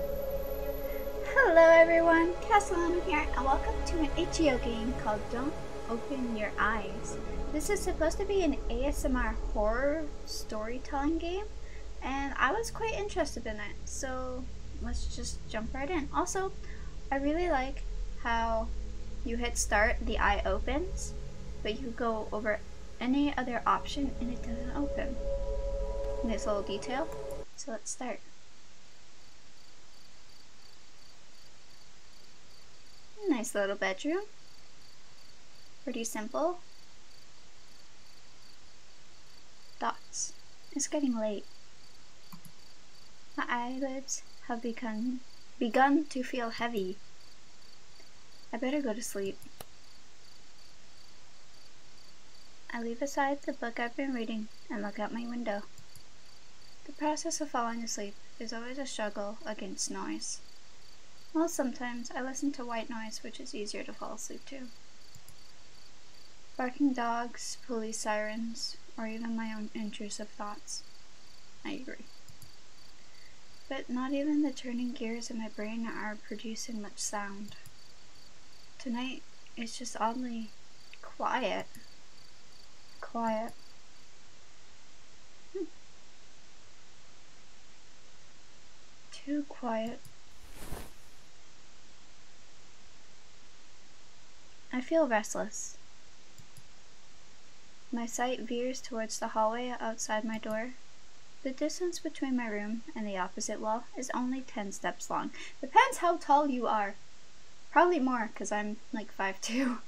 Hello everyone, Castellano here, and welcome to an itch.io game called Don't Open Your Eyes. This is supposed to be an ASMR horror storytelling game, and I was quite interested in it, so let's just jump right in. Also, I really like how you hit start, the eye opens, but you go over any other option and it doesn't open. Nice little detail. So let's start. Nice little bedroom. Pretty simple. Dots. It's getting late. My eyelids have become begun to feel heavy. I better go to sleep. I leave aside the book I've been reading and look out my window. The process of falling asleep is always a struggle against noise. Well, sometimes I listen to white noise, which is easier to fall asleep to. Barking dogs, police sirens, or even my own intrusive thoughts. I agree. But not even the turning gears of my brain are producing much sound. Tonight, it's just oddly quiet. Quiet. Hmm. Too quiet. I feel restless. My sight veers towards the hallway outside my door, the distance between my room and the opposite wall is only 10 steps long. Depends how tall you are. Probably more, I'm like five two.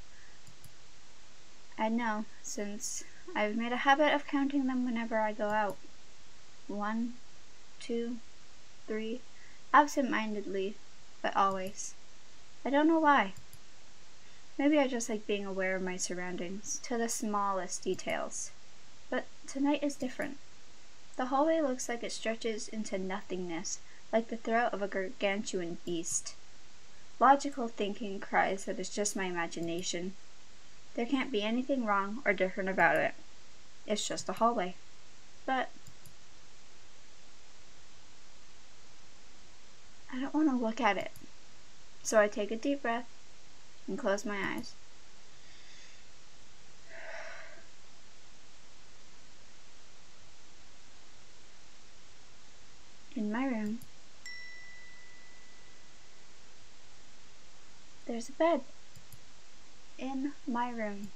I know, since I've made a habit of counting them whenever I go out. One, two, three, absent-mindedly, but always. I don't know why. Maybe I just like being aware of my surroundings, to the smallest details. But tonight is different. The hallway looks like it stretches into nothingness, like the throat of a gargantuan beast. Logical thinking cries that it's just my imagination. There can't be anything wrong or different about it. It's just a hallway. But I don't want to look at it. So I take a deep breath and close my eyes in my room. There's a bed in my room.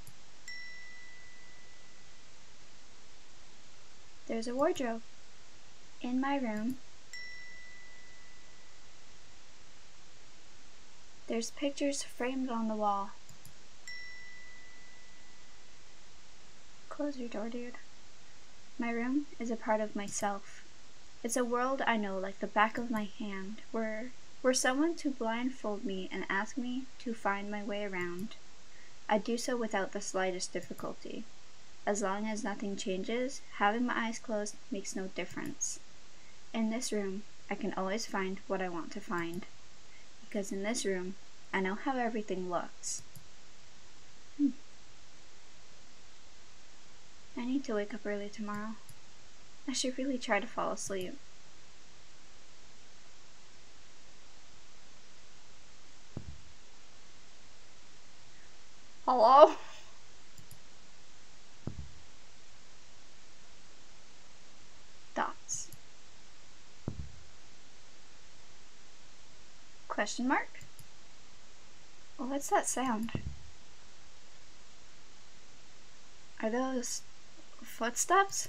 There's a wardrobe in my room. There's pictures framed on the wall. Close your door, dude. My room is a part of myself. It's a world I know like the back of my hand, where were someone to blindfold me and ask me to find my way around, I'd do so without the slightest difficulty. As long as nothing changes, having my eyes closed makes no difference. In this room, I can always find what I want to find, because in this room, I know how everything looks. Hmm. I need to wake up early tomorrow. I should really try to fall asleep. Hello? Dots. Question mark? What's that sound? Are those footsteps?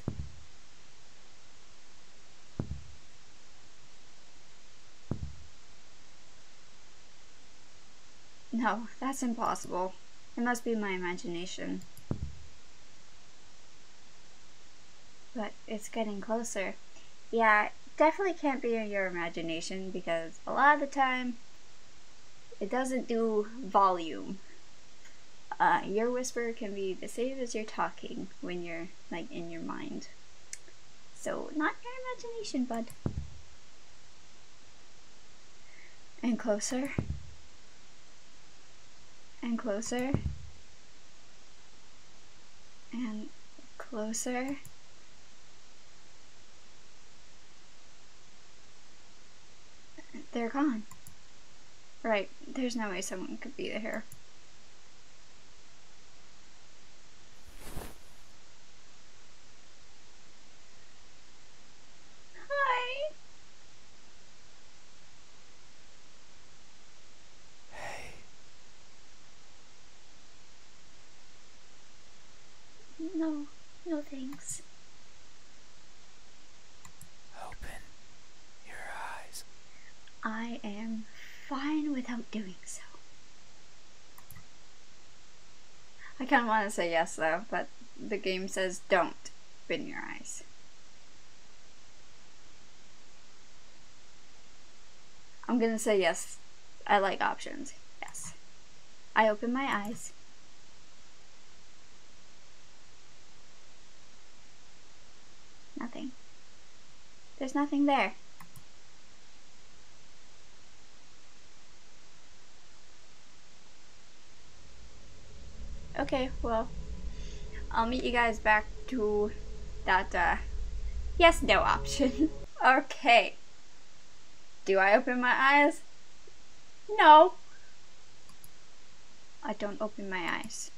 No, that's impossible. It must be my imagination. But it's getting closer. Yeah, definitely can't be your imagination because a lot of the time it doesn't do volume. Uh, your whisper can be the same as your talking when you're like in your mind. So not your imagination, bud and closer and closer and closer they're gone right there's no way someone could be there Hi. Hey. No, no thanks. Open your eyes. I am fine without doing so. I kind of want to say yes though, but the game says don't spin your eyes. I'm gonna say yes. I like options. Yes. I open my eyes. Nothing. There's nothing there. Okay, well, I'll meet you guys back to that, uh, yes, no option. okay. Do I open my eyes? No. I don't open my eyes.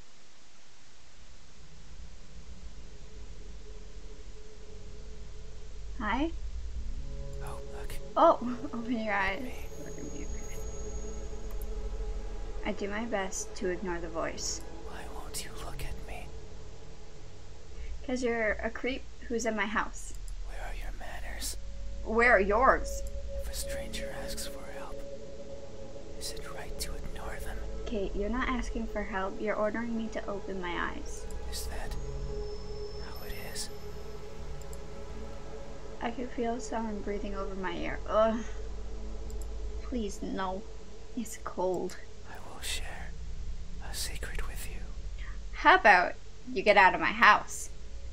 Hi? Oh, oh open your eyes. I do my best to ignore the voice. Why won't you look at me? Because you're a creep who's in my house. Where are your manners? Where are yours? If a stranger asks for help, is it right to ignore them? Kate, you're not asking for help. You're ordering me to open my eyes. Is that how it is? I can feel someone breathing over my ear. Ugh. Please, no. It's cold. I will share a secret with you. How about you get out of my house?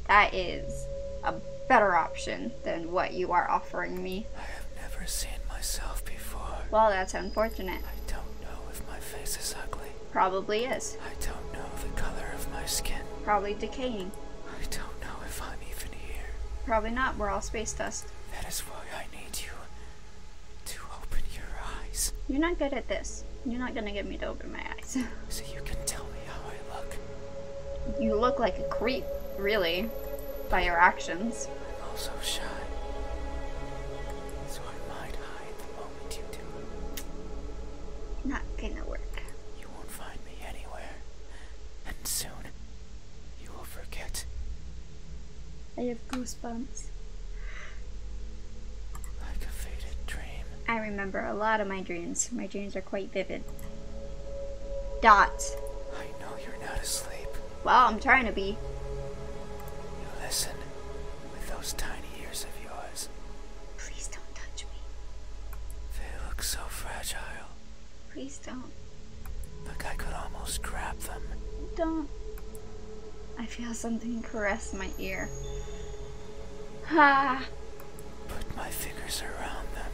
That is a better option than what you are offering me. I have never seen myself before. Well, that's unfortunate. I don't know if my face is ugly. Probably is. I don't know the color of my skin. Probably decaying. I don't know if I'm even here. Probably not. We're all space dust. That is why I need you to open your eyes. You're not good at this. You're not gonna get me to open my eyes. so you can tell me how I look. You look like a creep, really, by your actions. I'm also shy. So I might hide know what you do. Not gonna work. You won't find me anywhere. And soon, you will forget. I have goosebumps. Like a faded dream. I remember a lot of my dreams. My dreams are quite vivid. Dots. I know you're not asleep. Well, I'm trying to be. You listen with those tiny ears of yours. Please don't touch me. They look so fragile. Please don't. Look, I could almost grab them. Don't. I feel something caress my ear. Ha! Ah. Put my fingers around them.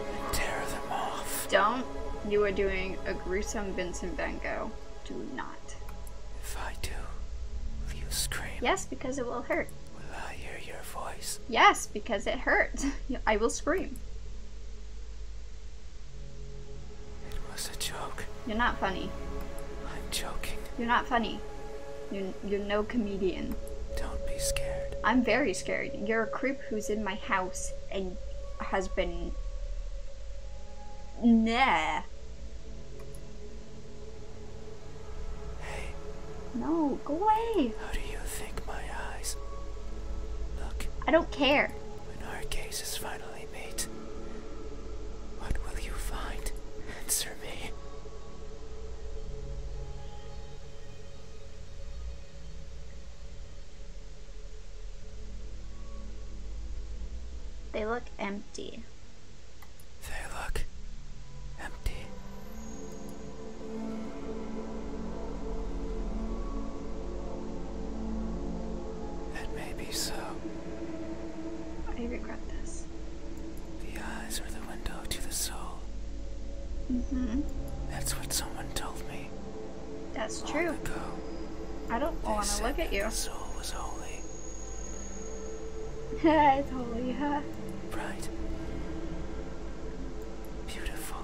And tear them off. Don't. You are doing a gruesome Vincent Van Gogh do not. If I do, will you scream? Yes, because it will hurt. Will I hear your voice? Yes, because it hurts. I will scream. It was a joke. You're not funny. I'm joking. You're not funny. you're no comedian. Don't be scared. I'm very scared. You're a creep who's in my house and has been Nah. No, go away. How do you think my eyes look? I don't care. When our case is finally made, what will you find? Answer me. They look empty. They look empty. It may be so. I regret this. The eyes are the window to the soul. hmm That's what someone told me. That's true. I don't want to look at you. The soul was holy. it's holy, huh? Bright. Beautiful.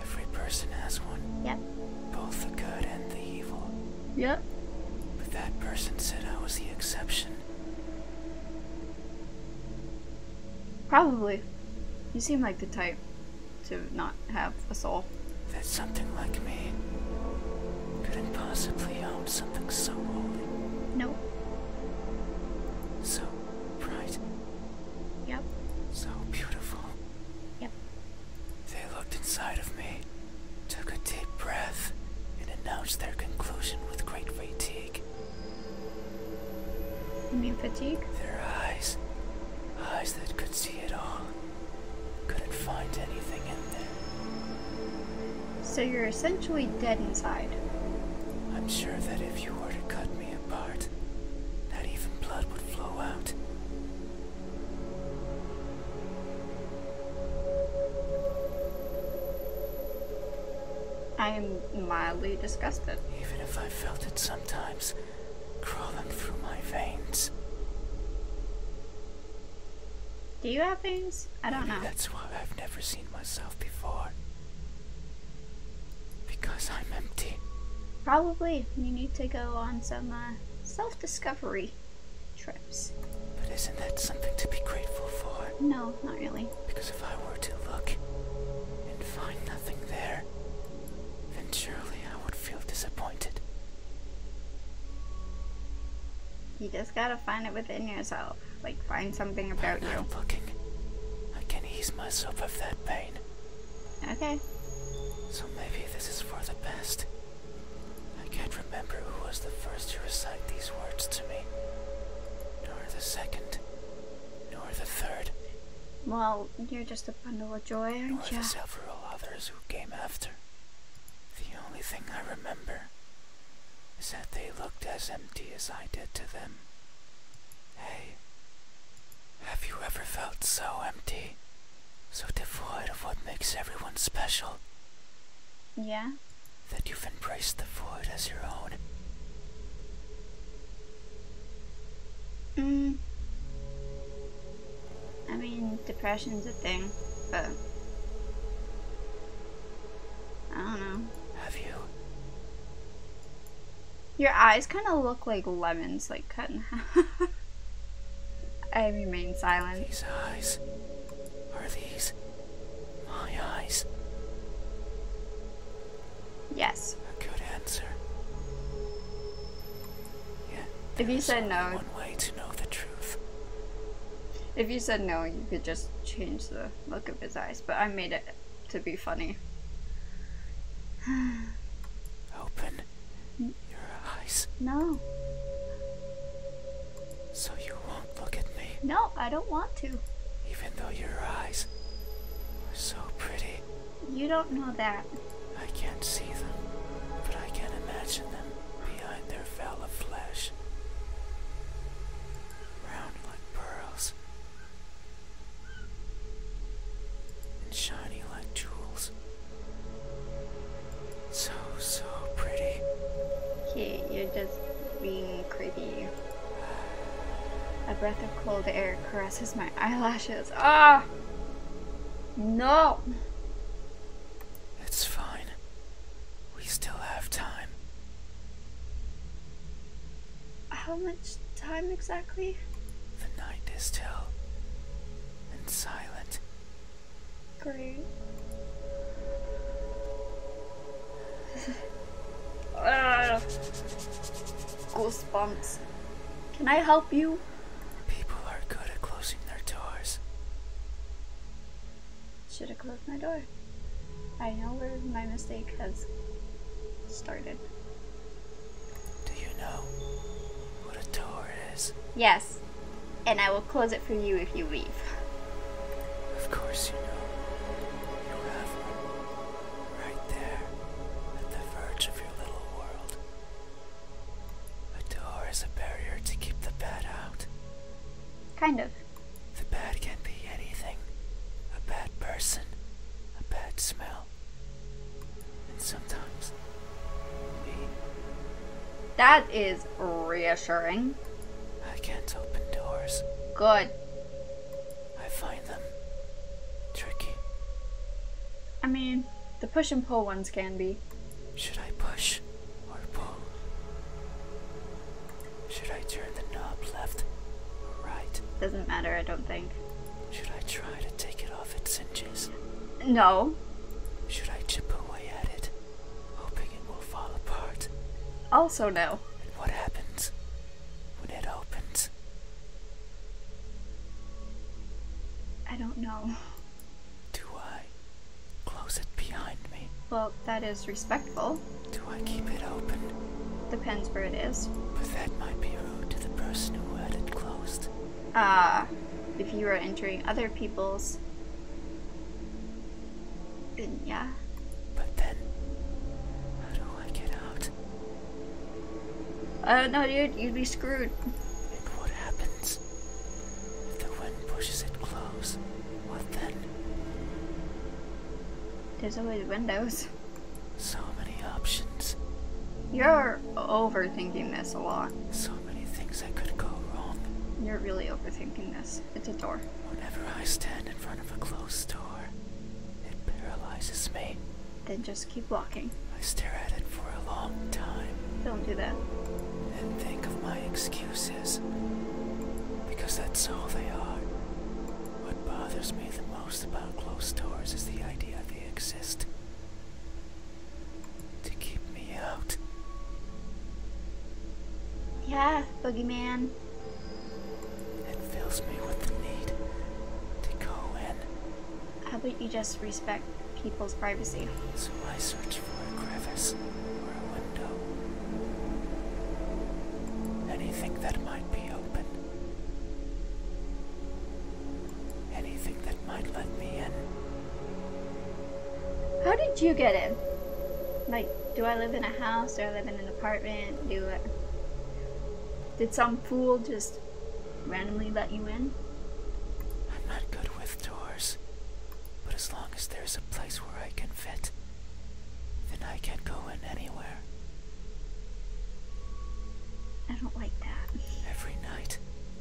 Every person has one. Yep. Both the good and the evil. Yep. But that person said I was the exception. Probably. You seem like the type to not have a soul. That something like me couldn't possibly own something so holy. No. So bright. Yep. So beautiful. Yep. They looked inside of me, took a deep breath, and announced their conclusion with great fatigue. You fatigue? Their eyes Eyes that could see it all couldn't find anything in there. So you're essentially dead inside. I'm sure that if you were to cut me apart, not even blood would flow out. I am mildly disgusted. Even if I felt it sometimes, crawling through my veins. Do you have veins? I don't know. That's why I've never seen myself before. Because I'm empty. Probably. You need to go on some uh, self discovery trips. But isn't that something to be grateful for? No, not really. Because if I were to look and find nothing there, then surely I would feel disappointed. You just gotta find it within yourself. Like, find something about i you. I'm looking. I can ease myself of that pain. Okay. So maybe this is for the best. I can't remember who was the first to recite these words to me, nor the second, nor the third. Well, you're just a bundle of joy, aren't you? several others who came after. The only thing I remember is that they looked as empty as I did to them. Hey, have you ever felt so empty? So devoid of what makes everyone special? Yeah? That you've embraced the void as your own. Mm. I mean, depression's a thing, but I don't know. Have you? Your eyes kind of look like lemons, like cut in half. I remain silent. These eyes are these my eyes. Yes. A good answer. If you said no, one way to know the truth. If you said no, you could just change the look of his eyes, but I made it to be funny. Open your eyes. No. So you won't look at me? No, I don't want to. Even though your eyes are so pretty. You don't know that. I can't see them, but I can imagine them behind their veil of flesh. Round like pearls. And shiny like jewels. So, so pretty. Okay, you're just being creepy. A breath of cold air caresses my eyelashes. Ah! No! It's fine. We still have time. How much time exactly? The night is still and silent. Great. Ah! Goosebumps. Can I help you? People are good at closing their doors. Should have closed my door. I know where my mistake has started. Do you know what a door is? Yes. And I will close it for you if you leave. Of course you know. You have one. Right there, at the verge of your little world. A door is a barrier to keep the bad out. Kind of. The bad can be anything a bad person, a bad smell. And sometimes, me. That is reassuring. I can't open doors. Good. I find them tricky. I mean, the push and pull ones can be. Should I push or pull? Should I turn the knob left or right? Doesn't matter, I don't think. Should I try to take it off its hinges? No. Should I chip away at it, hoping it will fall apart? Also, no. what happens when it opens? I don't know. Do I close it behind me? Well, that is respectful. Do I keep it open? Depends where it is. But that might be rude to the person who had it closed. Ah, uh, if you are entering other people's. Then yeah. But then, how do I get out? it. Uh, no, dude, you'd be screwed. And what happens? If the wind pushes it close, what then? There's always windows. So many options. You're overthinking this a lot. So many things that could go wrong. You're really overthinking this. It's a door. Whenever I stand in front of a closed door, it paralyzes me. Then just keep walking. I stare at it for a long time. Don't do that. And think of my excuses. Because that's all they are. What bothers me the most about closed doors is the idea they exist. To keep me out. Yeah, boogeyman. It fills me with the need to go in. How about you just respect people's privacy? So I search for a crevice or a window. Anything that might be open. Anything that might let me in. How did you get in? Like, do I live in a house? or live in an apartment? Do I... Did some fool just randomly let you in? I'm not good with doors, but as long as there's a place where I can fit, then I can go in anywhere. I don't like that. Every night,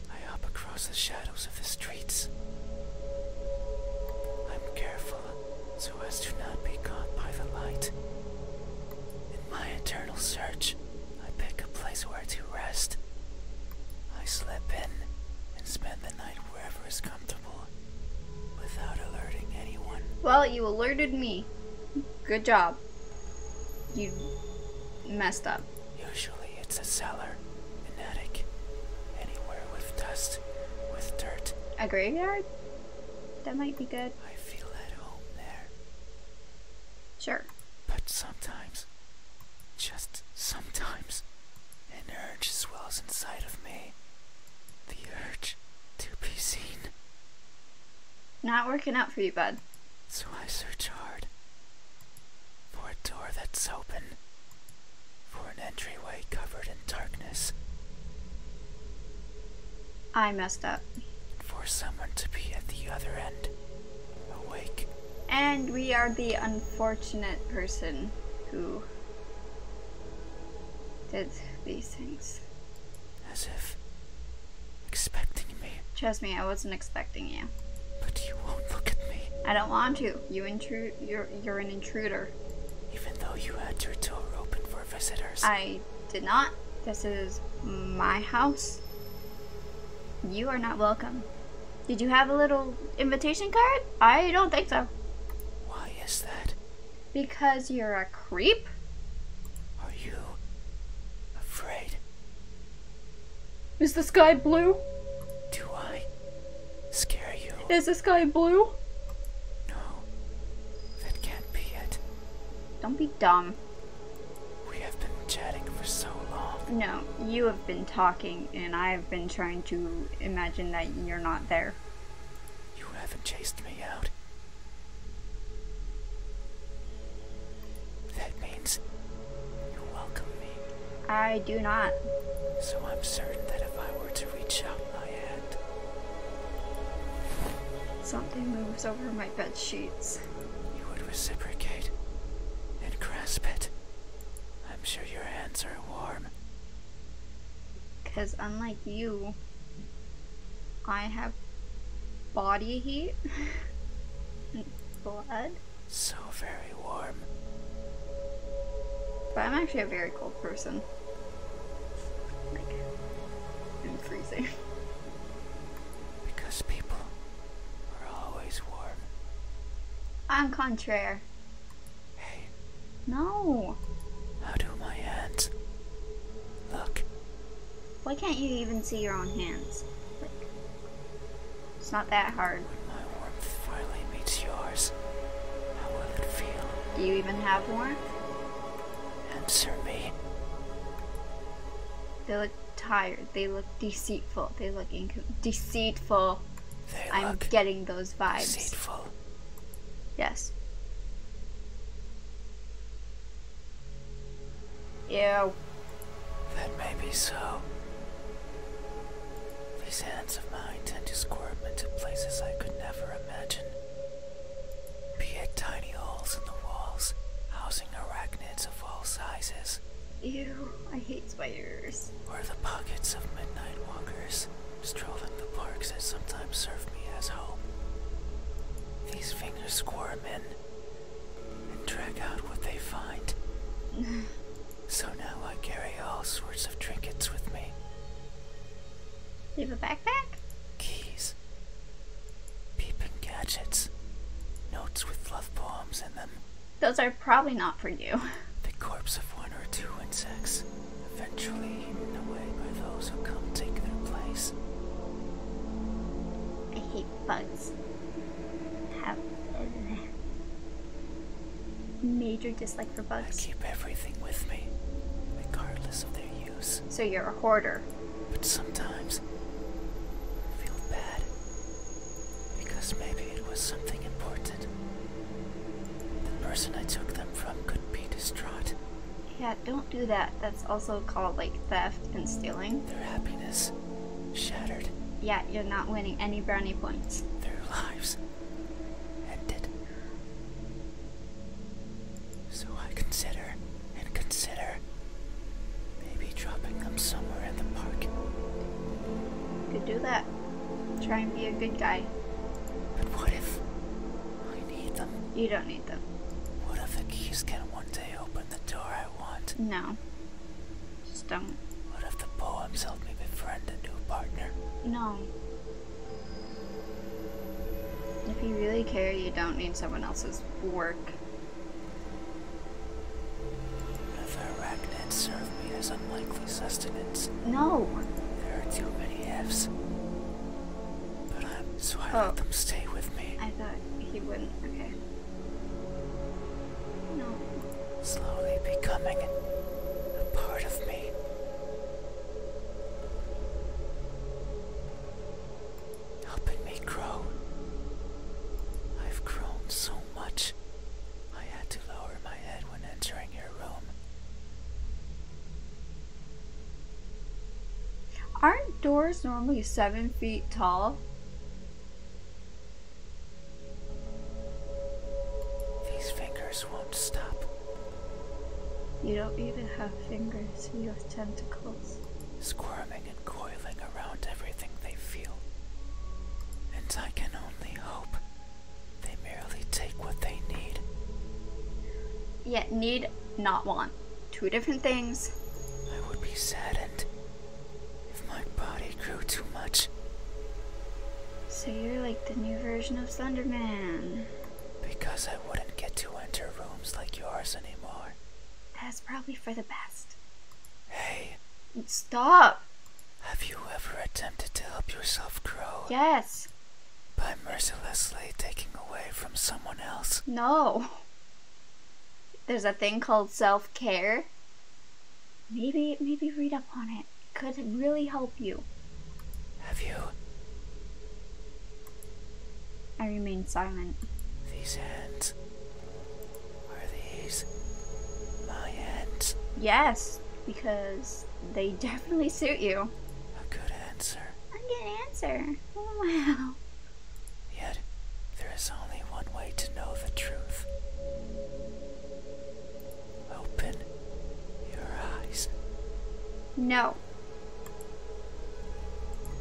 I hop across the shadows of the streets. I'm careful so as to not be caught by the light. In my eternal search, I pick a place where to rest. I slip in and spend the night wherever is comfortable without alerting anyone. Well, you alerted me. Good job. You messed up. Usually it's a cellar, an attic, anywhere with dust, with dirt. A graveyard? That might be good. I feel at home there. Sure. But sometimes, just sometimes, an urge swells inside of me. The urge to be seen. Not working out for you, bud. So I search hard for a door that's open, for an entryway covered in darkness. I messed up. For someone to be at the other end, awake. And we are the unfortunate person who did these things. As if expecting me. Trust me, I wasn't expecting you. But you won't look at me. I don't want to. You intrude. You're you're an intruder. Even though you had your door open for visitors. I did not. This is my house. You are not welcome. Did you have a little invitation card? I don't think so. Why is that? Because you're a creep? Are you afraid? Is the sky blue? Do I scare you? Is the sky blue? No. That can't be it. Don't be dumb. We have been chatting for so long. No, you have been talking, and I have been trying to imagine that you're not there. You haven't chased me out. That means you welcome me. I do not. So I'm certain that if I were to reach out my hand, Something moves over my bed sheets. You would reciprocate and grasp it. I'm sure your hands are warm. Because unlike you, I have body heat blood. So very warm. But I'm actually a very cold person. Like, I'm freezing. Because people are always warm. I'm contraire. Hey. No. How do my hands look? Why can't you even see your own hands? it's not that hard. When my warmth finally meets yours, how will it feel? Do you even have warmth? Answer me. They look tired. They look deceitful. They look deceitful. They I'm getting those vibes. Yes. Yeah. That may be so. These hands of mine tend to squirm into places I could never imagine. Appeared tiny holes in the walls, housing arachnids of all sizes. Ew, I hate spiders. Or the pockets of midnight walkers, strolling the parks that sometimes serve me as home. These fingers squirm in and drag out what they find. so now I carry all sorts of trinkets with me. You have a backpack? Keys, Peeping gadgets. Notes with love poems in them. Those are probably not for you. The corpse of one or two insects, eventually eaten away by those who come take their place. I hate bugs. Have a major dislike for bugs. I keep everything with me, regardless of their use. So you're a hoarder. But sometimes I feel bad because maybe it was something important. The person I took them from could be distraught. Yeah, don't do that. That's also called like theft and stealing. Their happiness shattered. Yeah, you're not winning any brownie points. Their lives ended. So I consider and consider maybe dropping them somewhere in the park. could do that. Try and be a good guy. But what if I need them? You don't need them. What if the keys can one day open the door I want? No. Just don't. What if the poems help me befriend a new partner? No. If you really care, you don't need someone else's work. Another arachnid served me as unlikely sustenance. No! There are too many ifs. But I, am so I oh. let them stay with me. I thought he wouldn't. Okay. No. Slowly becoming a part of me helping me grow. I've grown so much, I had to lower my head when entering your room. Aren't doors normally seven feet tall? These fingers won't stop you don't even have fingers, you have tentacles. Squirming and coiling around everything they feel. And I can only hope they merely take what they need. Yet, need, not want. Two different things. I would be saddened if my body grew too much. So you're like the new version of Slenderman. Because I wouldn't get to enter rooms like yours anymore. That's probably for the best. Hey. Stop! Have you ever attempted to help yourself grow? Yes. By mercilessly taking away from someone else? No. There's a thing called self care. Maybe, maybe read up on it. Could really help you. Have you? I remain silent. These hands. Are these my hands? Yes, because they definitely suit you. A good answer. A good answer. Wow. Yet, there is only one way to know the truth. Open your eyes. No.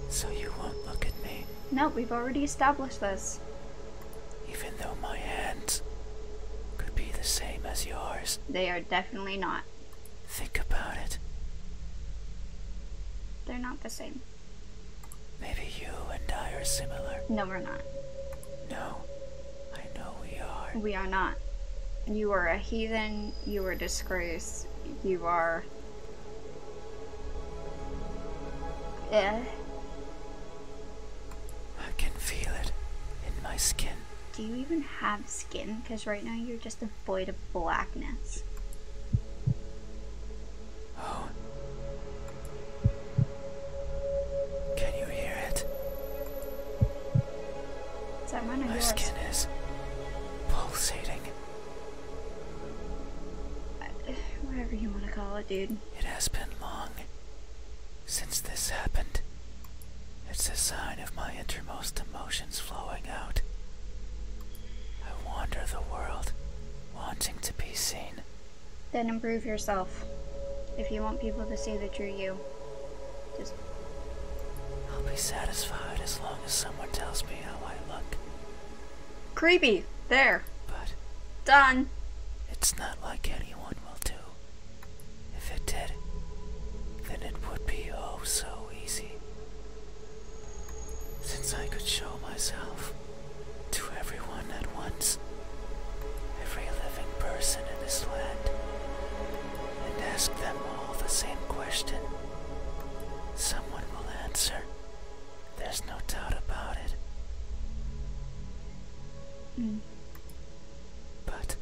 So you won't look at me? No, we've already established this. Even though my hands could be the same as yours. They are definitely not. Think about it. They're not the same. Maybe you and I are similar. No, we're not. No, I know we are. We are not. You are a heathen, you are disgraced you are. Yeah. I can feel it in my skin. Do you even have skin? Because right now you're just a void of blackness. Oh. Can you hear it? My skin is pulsating. Uh, whatever you want to call it, dude. It has been long since this happened. It's a sign of my innermost emotions flowing out. I wander the world, wanting to be seen. Then improve yourself. If you want people to see the true you. Just be satisfied as long as someone tells me how I look. Creepy. There. But done. It's not like anyone will do. If it did, then it would be oh so easy. Since I could show myself to everyone at once, every living person in this land, and ask them all the same question. Someone will answer. There's no doubt about it. Hmm. But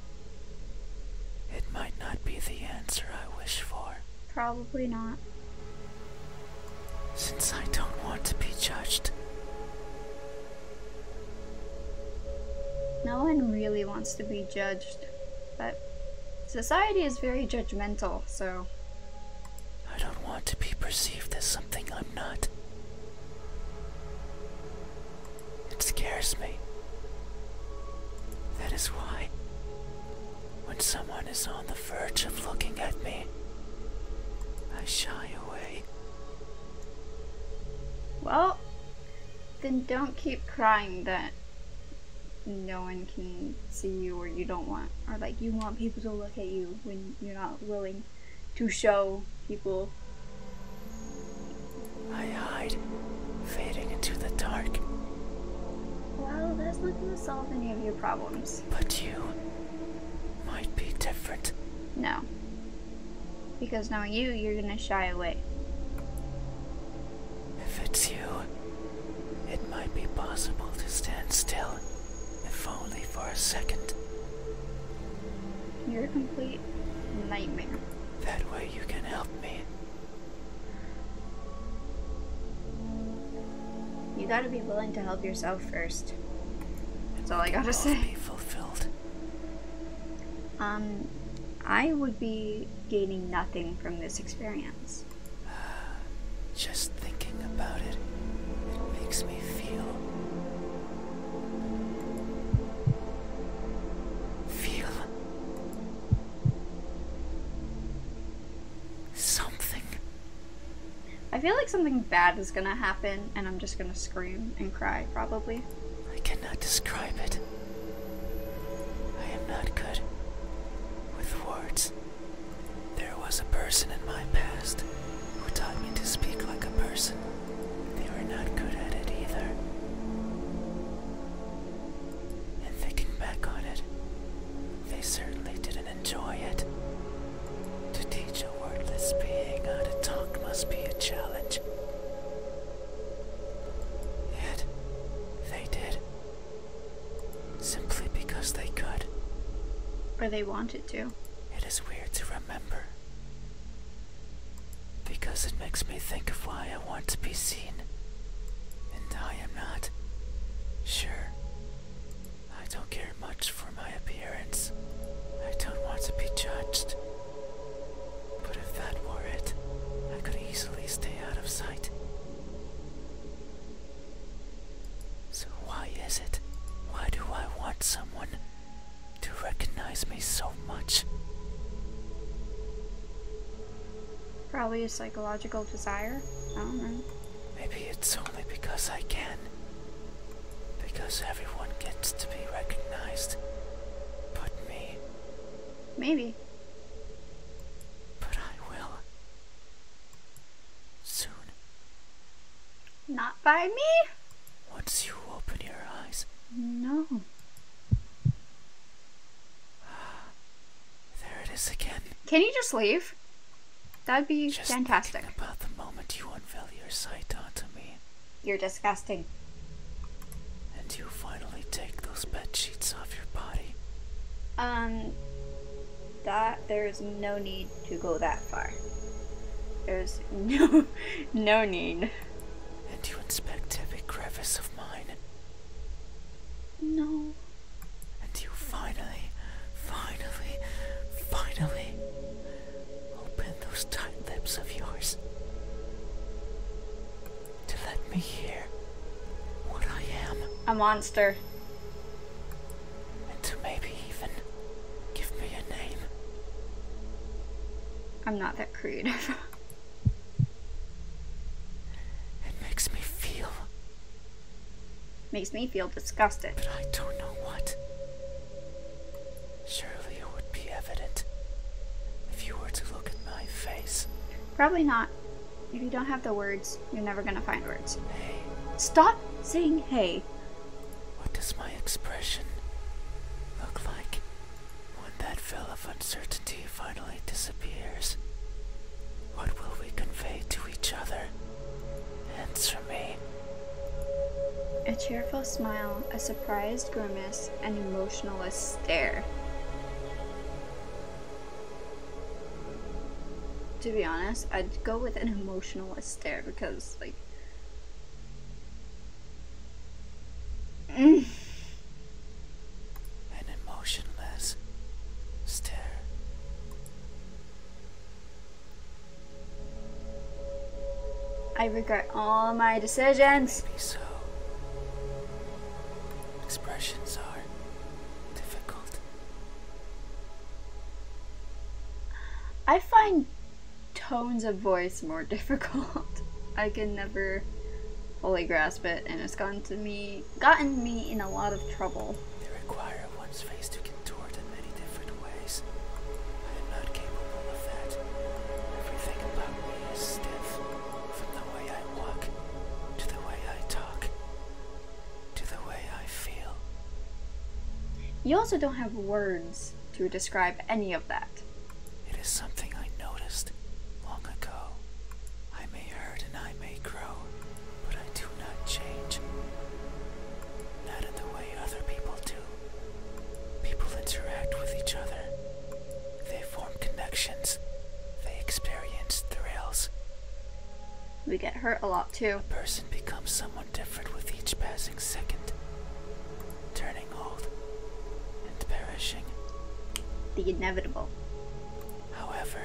it might not be the answer I wish for. Probably not. Since I don't want to be judged. No one really wants to be judged. But society is very judgmental, so. I don't want to be perceived as something I'm not. It scares me. That is why, when someone is on the verge of looking at me, I shy away. Well, then don't keep crying that no one can see you or you don't want or like you want people to look at you when you're not willing to show people I hide, fading into the dark. Well, that's not gonna solve any of your problems. But you might be different. No. Because knowing you, you're gonna shy away. If it's you, it might be possible to stand still, if only for a second. You're a complete nightmare. That way you can help me. You gotta be willing to help yourself first. That's all I gotta say. Be fulfilled. Um, I would be gaining nothing from this experience. Just thinking about it, makes me feel. feel. something. I feel like something bad is gonna happen, and I'm just gonna scream and cry, probably. I cannot describe it. I am not good with words. There was a person in my past who taught me to speak like a person. They were not good at it either. And thinking back on it, they certainly didn't enjoy it. To teach a wordless being how to talk must be a challenge. Yet, they did. Simply because they could. Or they wanted to. It is weird to remember. Because it makes me think of why I want to be seen. And I am not. Sure. I don't care much for my appearance. I don't want to be judged. But if that were it, I could easily stay out of sight. So why is it? Why do I want someone to recognize me so much? Probably a psychological desire. I don't know. Maybe it's only because I can. Because everyone gets to be recognized. But me, Maybe. But I will. Soon. Not by me? Once you open your eyes. No. There it is again. Can you just leave? That'd be just fantastic. About the moment you unveil your sight onto me. You're disgusting. And you finally take those bed sheets off your body. Um, that there's no need to go that far. There's no, no need. And you inspect every crevice of mine. No. And you finally, finally, finally open those tight lips of yours to let me hear what I am. A monster. And to maybe even give me a name. I'm not that creative. it makes me feel. Makes me feel disgusted. But I don't know what. Surely it would be evident if you were to look at my face. Probably not. If you don't have the words, you're never gonna find words. Hey. Stop saying hey. What does my expression look like when that veil of uncertainty finally disappears? What will we convey to each other? Answer me. A cheerful smile, a surprised grimace, an and emotionless stare. To be honest, I'd go with an emotionless stare because, like, mm. an emotionless stare. I regret all my decisions. Expressions are difficult. I find tones of voice more difficult. I can never fully grasp it, and it's gotten to me gotten me in a lot of trouble. They require one's face to contort in many different ways. I am not capable of that. Everything about me is stiff. From the way I walk, to the way I talk, to the way I feel. You also don't have words to describe any of that. It is something I noticed long ago. I may hurt and I may grow, but I do not change. Not in the way other people do. People interact with each other, they form connections. They experience thrills. We get hurt a lot too. A person becomes someone different with each passing second, turning old and perishing. The inevitable. However,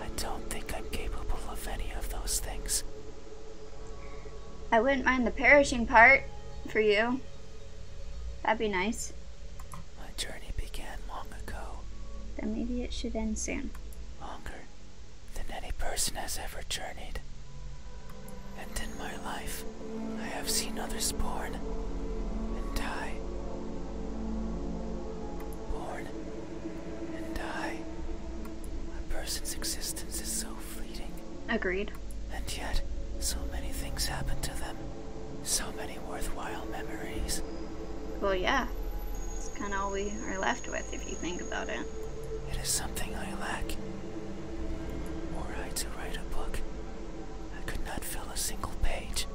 I don't think I'm capable of any of those things. I wouldn't mind the perishing part for you. That'd be nice. My journey began long ago. Then maybe it should end soon. Longer than any person has ever journeyed. And in my life, I have seen others born and die. Born and die. A person's existence is so fleeting. Agreed. And yet, so many things happened to them. So many worthwhile memories. Well, yeah. It's kind of all we are left with if you think about it. It is something I lack. Were I to write a book, I could not fill a single page.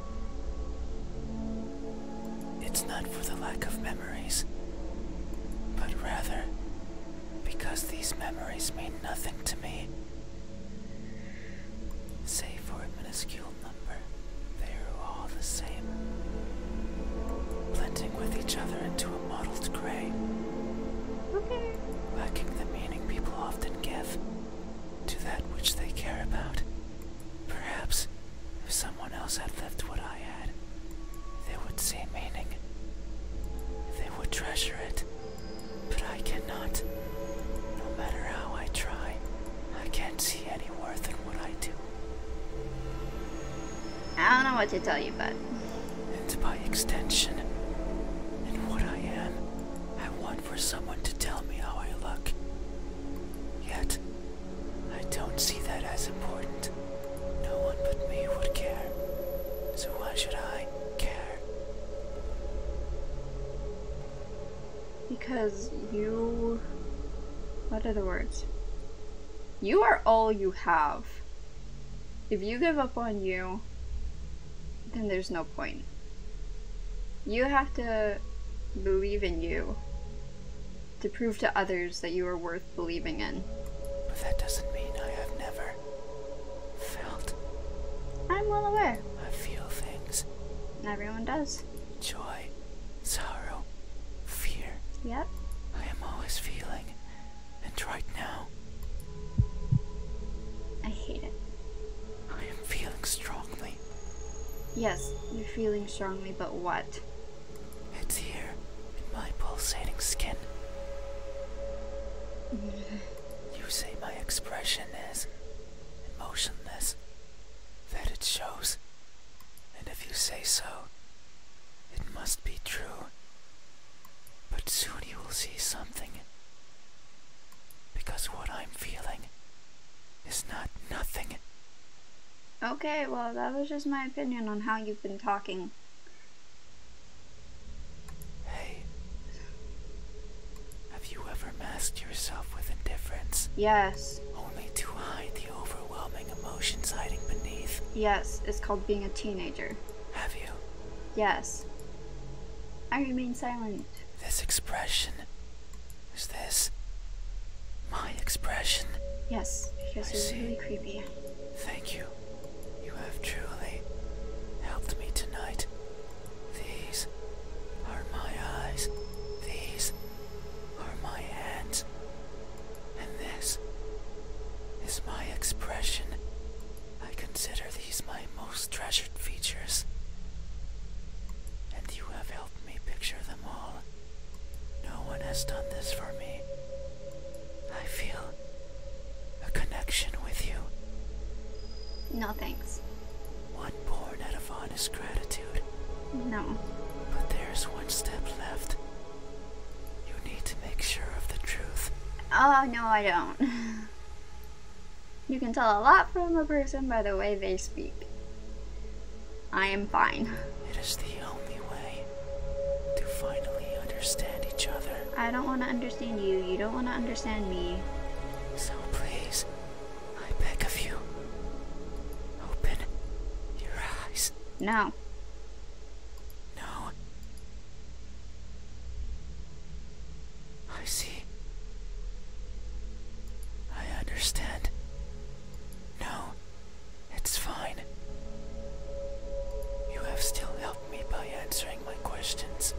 It's not for the lack of memories, but rather because these memories mean nothing to me. Save for a minuscule number, they are all the same, blending with each other into a mottled gray, okay. lacking the meaning people often give to that which they care about. Perhaps if someone else had lived what I had, they would see meaning, they would treasure it. But I cannot. No matter how I try, I can't see any worth in what I do. I don't know what to tell you, bud. And by extension, in what I am, I want for someone to tell me how I look. Yet, I don't see that as important. No one but me would care. So why should I care? Because you... What are the words? You are all you have. If you give up on you, then there's no point. You have to believe in you to prove to others that you are worth believing in. But that doesn't mean I have never Felt. I'm well aware. I feel things. Everyone does. Joy, sorrow, fear. Yep. I am always feeling, and right now. I hate it. I am feeling strongly. Yes, you're feeling strongly, but what? It's here, in my pulsating skin. You say my expression is emotionless, that it shows, and if you say so, it must be true. But soon you will see something, because what I'm feeling is not nothing. Okay, well, that was just my opinion on how you've been talking. Hey, have you ever masked yourself with indifference? Yes. Only to hide the overwhelming emotions hiding beneath? Yes, it's called being a teenager. Have you? Yes. I remain silent. This expression. Is this my expression? Yes, because I it's really creepy. Thank you. You have truly helped me tonight. These are my eyes. These are my hands. And this is my expression. I consider these my most treasured features. And you have helped me picture them all. No one has done this for me. I feel a connection with you. No thanks. One born out of honest gratitude. No. But there's one step left. You need to make sure of the truth. Oh, no, I don't. you can tell a lot from a person by the way they speak. I am fine. It is the only way to finally understand each other. I don't want to understand you, don't want to understand me. So please, I beg of you, open your eyes. No. No. I see. I understand. No, it's fine. You have still helped me by answering my questions.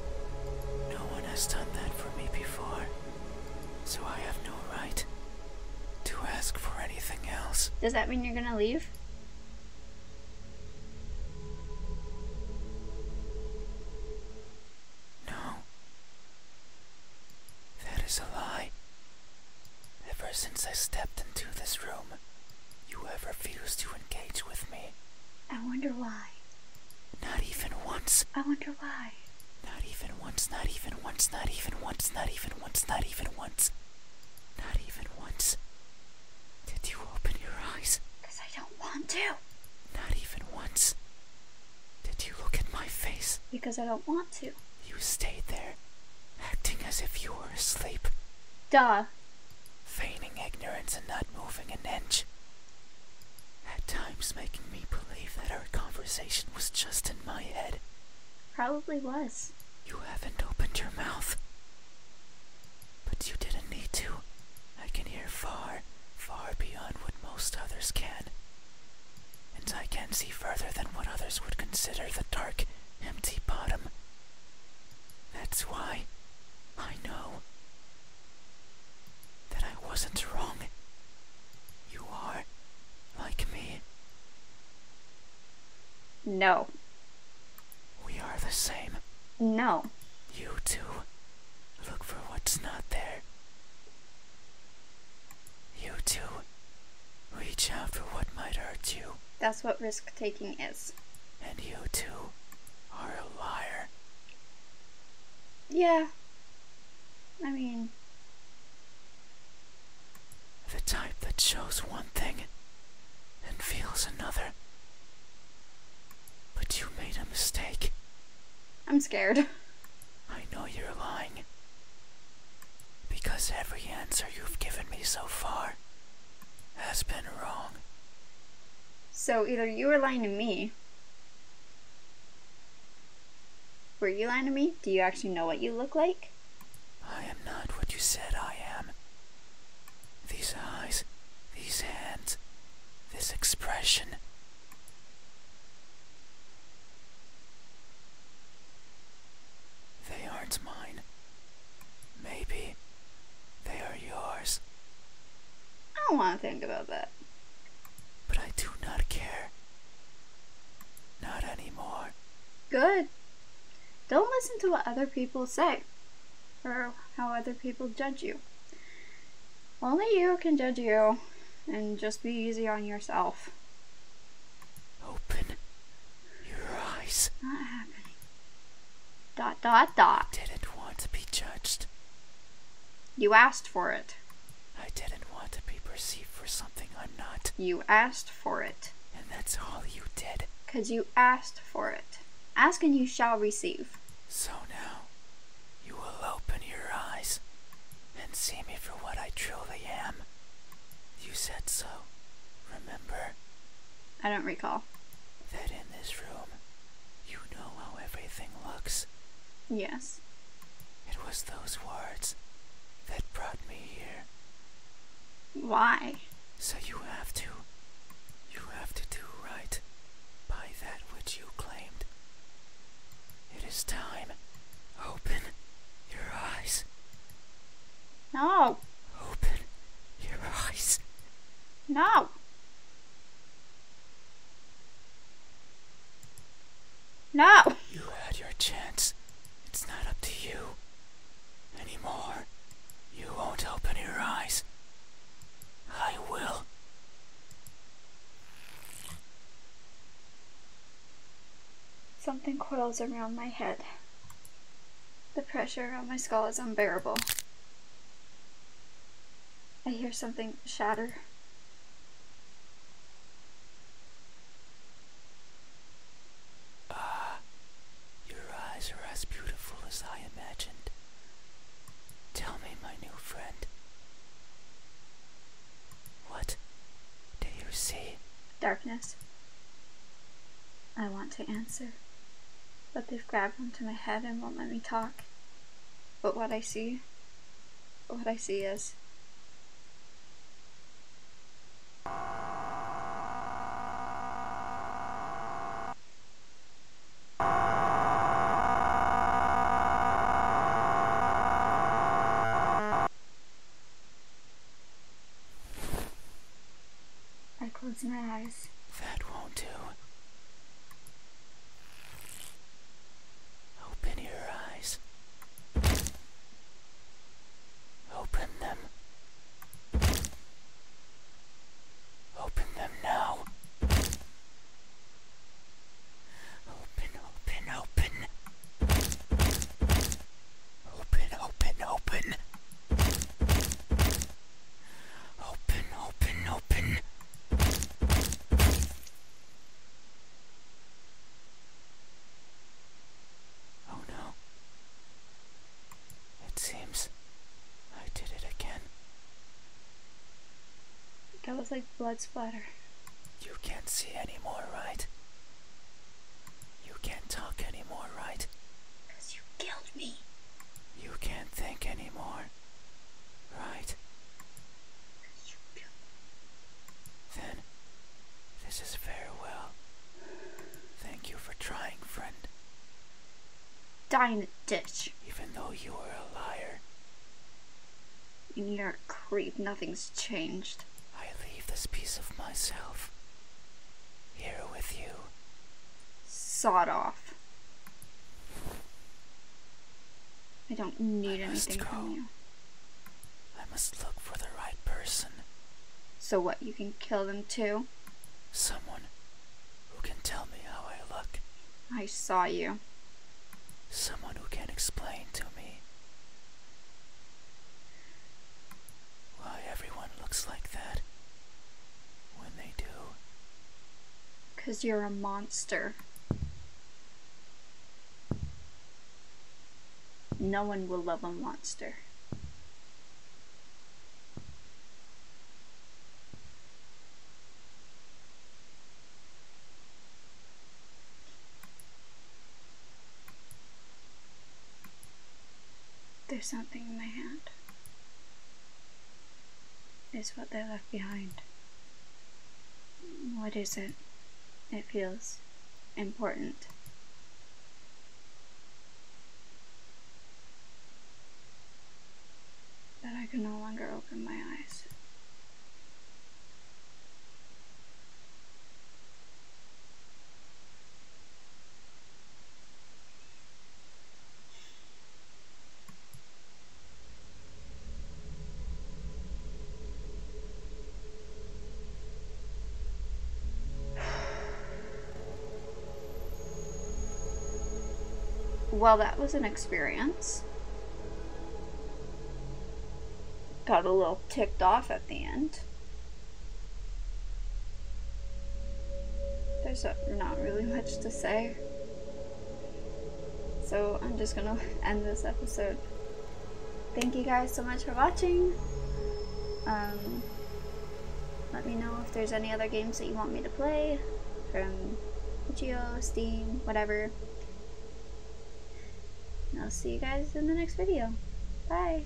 No one has done that for me before, so I have no right to ask for anything else. Does that mean you're gonna leave? No. That is a lie. Ever since I stepped into this room, home. You have refused to engage with me. I wonder why. Not even once. I wonder why. Not even once, not even once, not even once, not even once, not even once. Not even once. Did you open your eyes? Because I don't want to. Not even once. Did you look at my face? Because I don't want to. You stayed there, acting as if you were asleep. Duh feigning ignorance and not moving an inch. At times making me believe that our conversation was just in my head. Probably was. You haven't opened your mouth. But you didn't need to. I can hear far, far beyond what most others can. And I can see further than what others would consider the dark, empty bottom. That's why, I know that I wasn't wrong. You are like me. No. We are the same. No. You too. Look for what's not there. You too. Reach out for what might hurt you. That's what risk taking is. And you too are a liar. Yeah. I mean. The type that shows one thing and feels another. But you made a mistake. I'm scared. I know you're lying. Because every answer you've given me so far has been wrong. So either you were lying to me. Were you lying to me? Do you actually know what you look like? I am not what you said I am. These eyes, these hands, this expression. They aren't mine. Maybe they are yours. I don't want to think about that. But I do not care. Not anymore. Good. Don't listen to what other people say or how other people judge you. Only you can judge you and just be easy on yourself. Open your eyes. Not happening. Dot dot dot. Didn't want to be judged. You asked for it. I didn't want to be perceived for something I'm not. You asked for it. And that's all you did. Cause you asked for it. Ask and you shall receive. So now, you will open your eyes and see me for what I truly am. You said so, remember? I don't recall. That this room. You know how everything looks. Yes. It was those words that brought me here. Why? So you have to. You have to do right by that which you claimed. It is time. Open your eyes. No. Open your eyes. No. No. You had your chance. It's not up to you anymore. You won't open your eyes. I will. Something coils around my head. The pressure on my skull is unbearable. I hear something shatter. Ah, your eyes are as beautiful as I imagined. Tell me, my new friend. What do you see? Darkness. I want to answer, but they've grabbed onto my head and won't let me talk. But what I see, what I see is. I close my eyes. That won't do. Open your eyes. Open them. Open them now. Open, open, open. Open, open, open. Open, open, open. Oh no. It seems I did it again. That was like blood splatter. You can't see anymore, right? You can't talk anymore, right? Because you killed me. You can't think anymore, right? Because you killed me. Then, this is farewell. Thank you for trying, friend. Die in a ditch. Even though you were a liar. in your a creep, nothing's changed. I leave this piece of myself here with you. Sawed off. I don't need I anything go. from you. I must look for the right person. So what, you can kill them too? Someone who can tell me how I look. I saw you. Someone who can explain to me. Why everyone looks like that when they do. Because you're a monster. No one will love a monster. There's something in my hand is what they left behind. What is it? It feels important. that I can no longer open my eyes well, that was an experience. Got a little ticked off at the end. There's not really much to say. So I'm just gonna end this episode. Thank you guys so much for watching. Um, let me know if there's any other games that you want me to play from Geo, Steam, whatever. I'll see you guys in the next video. Bye!